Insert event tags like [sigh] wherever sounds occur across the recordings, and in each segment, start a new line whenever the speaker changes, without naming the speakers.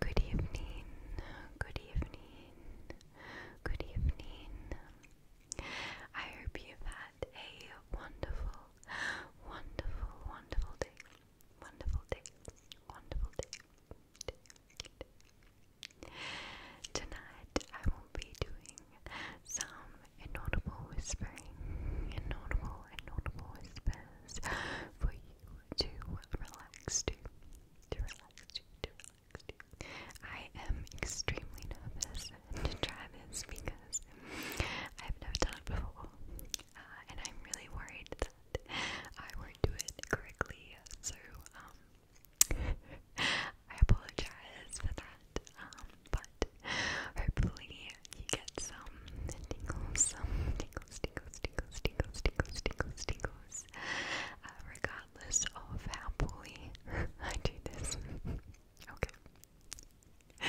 Good evening, good evening, good evening. I hope you've had a wonderful, wonderful, wonderful day. Wonderful day, wonderful day. Tonight I will be doing some inaudible whispering, inaudible, inaudible whispers for you to relax to, to relax to, to relax to. I am extremely nervous to try this because I've never done it before, uh, and I'm really worried that I won't do it correctly. So, um, I apologize for that. Um, but hopefully you get some tingles, some tingles, tingles, tingles, tingles, tingles, tingles, tingles. Uh, regardless of how poorly [laughs] I do this. okay.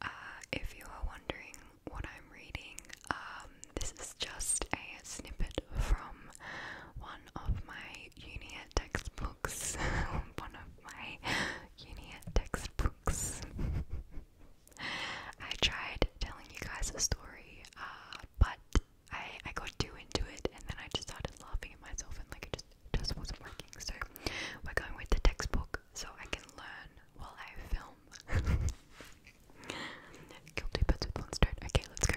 Uh, if you are wondering what I'm reading, um, this is just a snippet from one of my UNIAT textbooks. [laughs] one of my UNIAT textbooks. [laughs] I tried telling you guys a story, uh, but I I got too into it, and then I just started laughing at myself, and like it just just wasn't working. So we're going with the textbook, so I can learn while I film. Kill two birds with one Okay, let's go.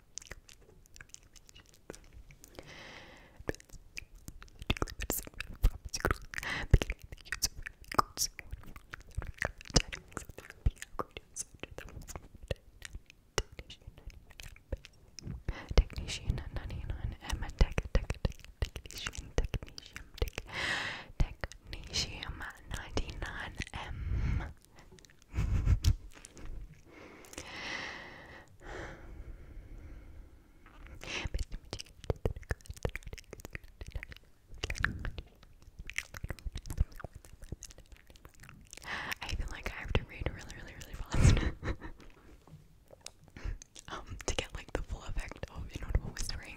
Technician, Technician, Emma Tech, Tech, Technician, Technician, Technician, Technician, 99M. I feel like I have to read really, really, really fast [laughs] um, to get like the full effect of inaudible whispering.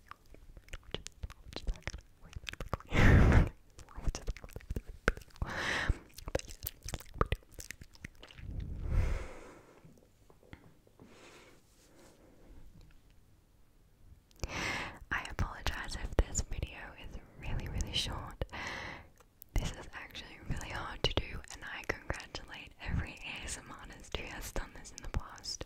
I apologize if this video is really, really short. This is actually really hard to do, and I congratulate right, every ASM monastery has done this in the past.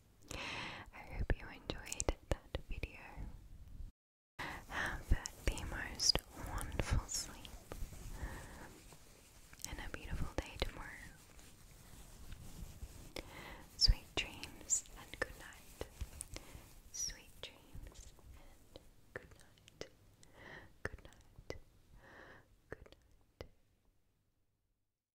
I hope you enjoyed that video. Have the most wonderful sleep and a beautiful day tomorrow. Sweet dreams and good night. Sweet dreams and good night. Good night. Good night.